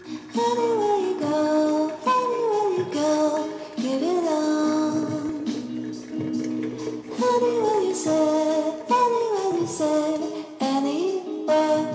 Anywhere you go, anywhere you go, give it all. Anywhere you say, anywhere you say, anywhere.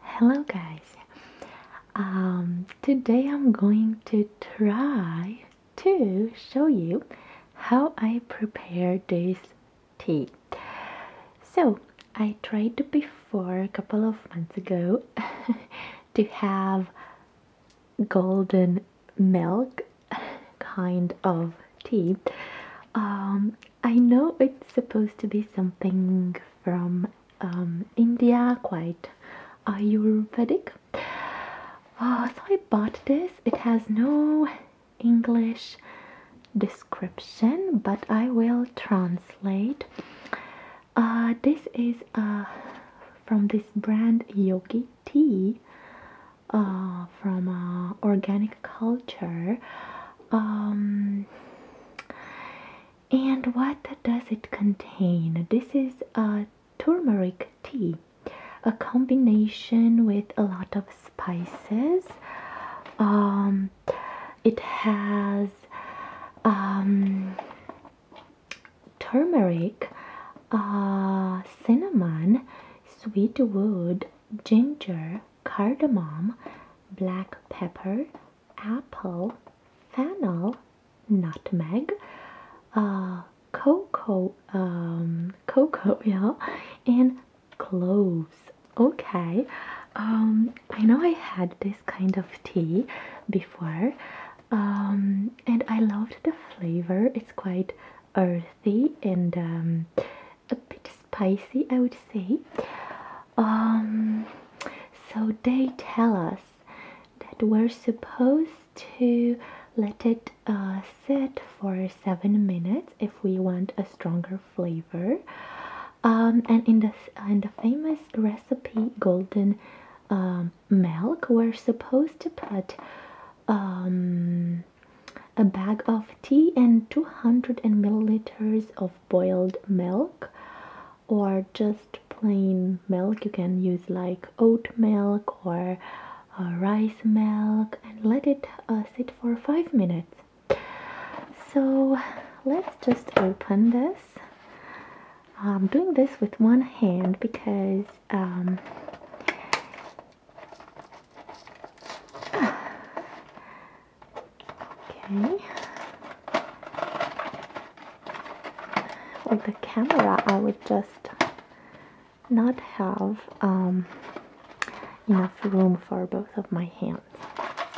Hello guys! Um, today I'm going to try to show you how I prepare this tea. So I tried before a couple of months ago to have golden milk kind of tea um, I know it's supposed to be something from um, India, quite Ayurvedic. Oh, so I bought this. It has no English description, but I will translate. Uh, this is uh, from this brand Yogi Tea uh, from organic culture. Um, and what does it contain? This is a turmeric tea, a combination with a lot of spices. Um, it has um, turmeric, uh, cinnamon, sweet wood, ginger, cardamom, black pepper, apple, fennel, nutmeg, uh, cocoa, um, cocoa, yeah, and cloves. Okay, um, I know I had this kind of tea before, um, and I loved the flavor. It's quite earthy and um, a bit spicy, I would say. Um, so they tell us that we're supposed to let it uh, sit for seven minutes if we want a stronger flavor. Um, and in the in the famous recipe golden um, milk, we're supposed to put a bag of tea and 200 milliliters of boiled milk or just plain milk you can use like oat milk or uh, rice milk and let it uh, sit for 5 minutes so let's just open this I'm doing this with one hand because um, Okay. With the camera, I would just not have um, enough room for both of my hands.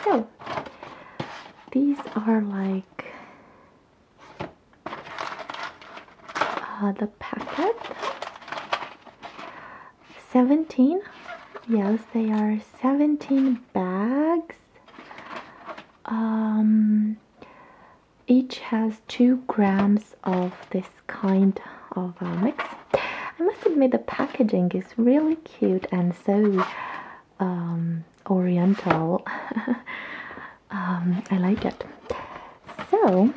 So, these are like uh, the packet 17 yes they are 17 bags um, each has 2 grams of this kind of uh, mix I must admit the packaging is really cute and so um, oriental um, I like it so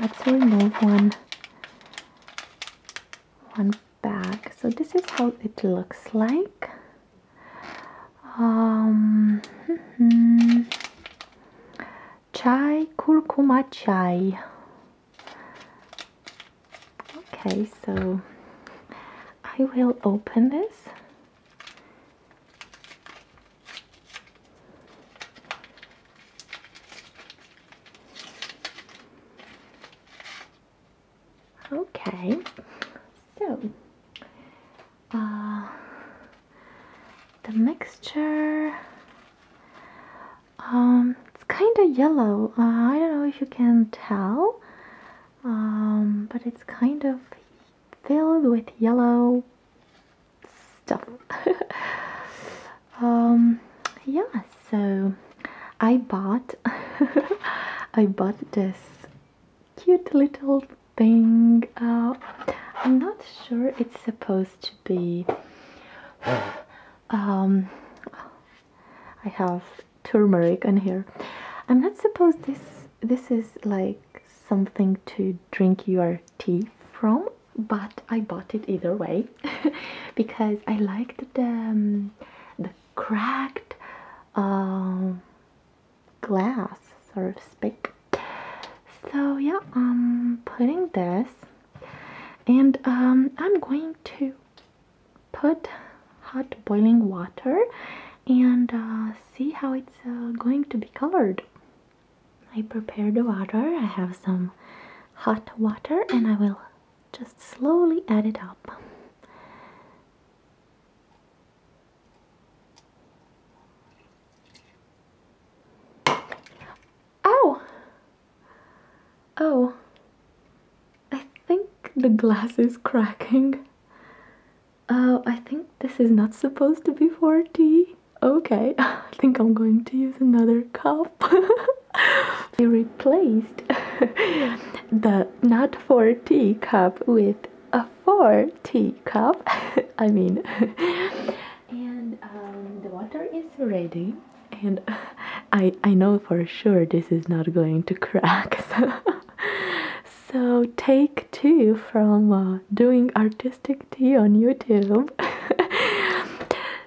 let's remove one one bag. so this is how it looks like um, chai kurkuma chai okay so I will open this Okay, so uh, the mixture, um, it's kind of yellow. Uh, I don't know if you can tell, um, but it's kind of filled with yellow stuff. um yeah so i bought i bought this cute little thing uh i'm not sure it's supposed to be um i have turmeric in here i'm not supposed this this is like something to drink your tea from but I bought it either way because I liked the um, the cracked um, glass, sort of speak. So yeah, I'm putting this, and um, I'm going to put hot boiling water and uh, see how it's uh, going to be colored. I prepared the water. I have some hot water, and I will just slowly add it up. Oh! Oh, I think the glass is cracking. Oh, I think this is not supposed to be 40. Okay, I think I'm going to use another cup. We replaced the not 4 teacup with a 4 teacup. I mean, and um, the water is ready. And I, I know for sure this is not going to crack. So take two from uh, doing artistic tea on YouTube.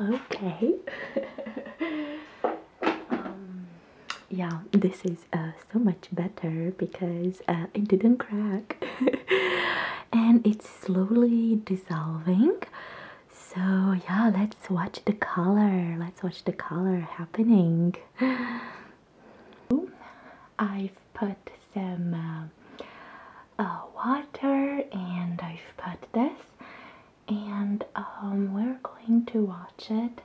Okay. Um, yeah, this is uh, so much better because uh, it didn't crack and it's slowly dissolving. So, yeah, let's watch the color. Let's watch the color happening. I've put some uh, water and I've put this and um, we're going to watch it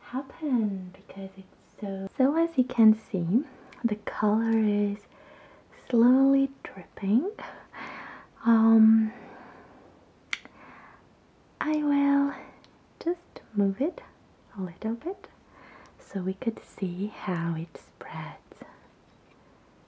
happen because it's so so as you can see the color is slowly dripping um, I will just move it a little bit so we could see how it spreads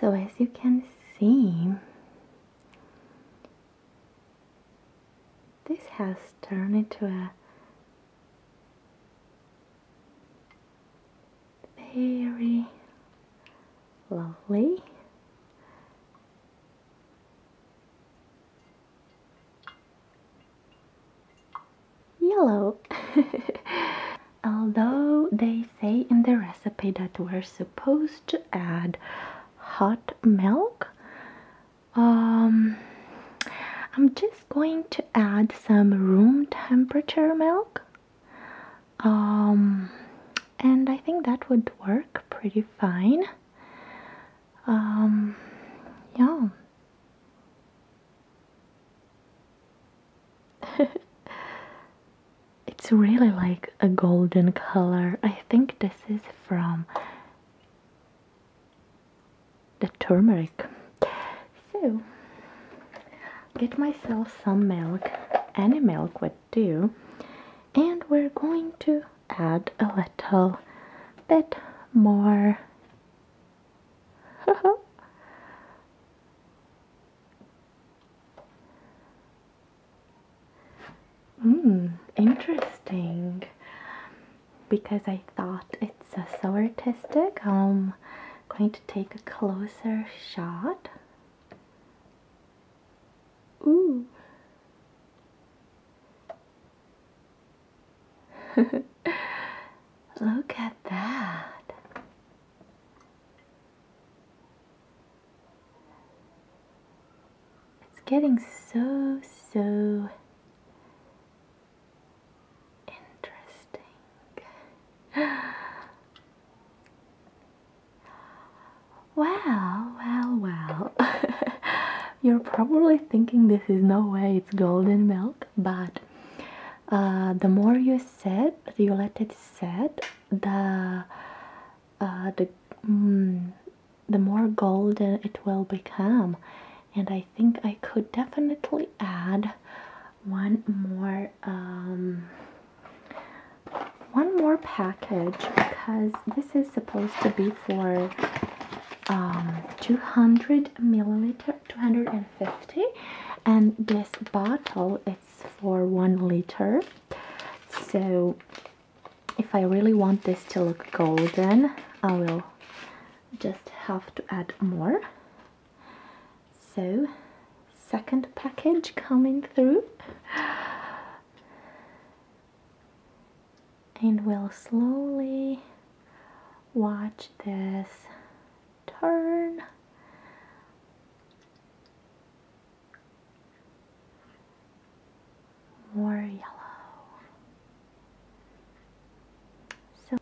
So as you can see, this has turned into a very lovely yellow although they say in the recipe that we're supposed to add hot milk. Um, I'm just going to add some room temperature milk. Um, and I think that would work pretty fine. Um, it's really like a golden color. I think this is from the turmeric. So, get myself some milk, any milk would do, and we're going to add a little bit more. Hmm, interesting. Because I thought it's uh, so artistic, I'm um, going to take a closer shot. Ooh. Look at that. It's getting so, so interesting. Well, well, well. You're probably thinking this is no way it's golden milk, but uh, the more you set, you let it set, the uh, the mm, the more golden it will become. And I think I could definitely add one more um, one more package because this is supposed to be for um, 200 milliliter 250 and this bottle is for one liter so if I really want this to look golden I will just have to add more so second package coming through and we'll slowly watch this turn more yellow. So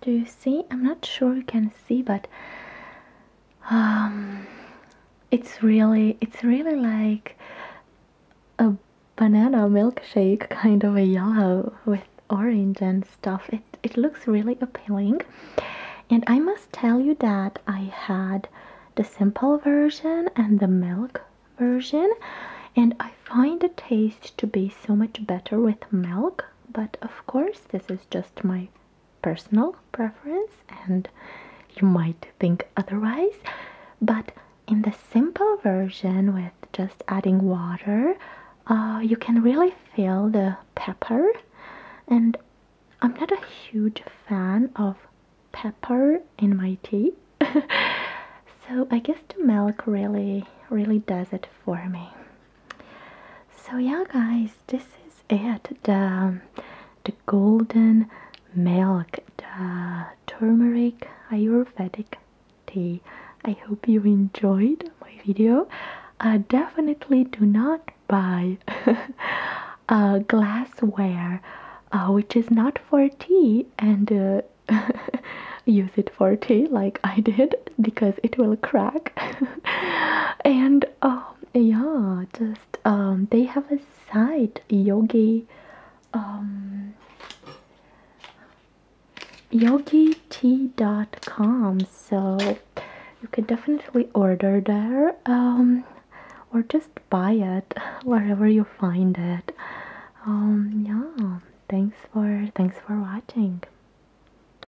do you see? I'm not sure you can see, but um, it's really, it's really like a banana milkshake, kind of a yellow with orange and stuff. It it looks really appealing, and I must tell you that I had the simple version and the milk version, and I find the taste to be so much better with milk. But of course, this is just my personal preference and you might think otherwise. But in the simple version with just adding water, uh, you can really feel the pepper. And I'm not a huge fan of pepper in my tea. so I guess the milk really, really does it for me. So yeah guys, this is it. The um, the golden milk, the turmeric ayurvedic tea. I hope you enjoyed my video. Uh, definitely do not buy glassware uh, which is not for tea and uh, use it for tea like I did because it will crack and um, yeah just um, they have a site, yogi um yogitea.com so you can definitely order there um, or just buy it wherever you find it yeah thanks for thanks for watching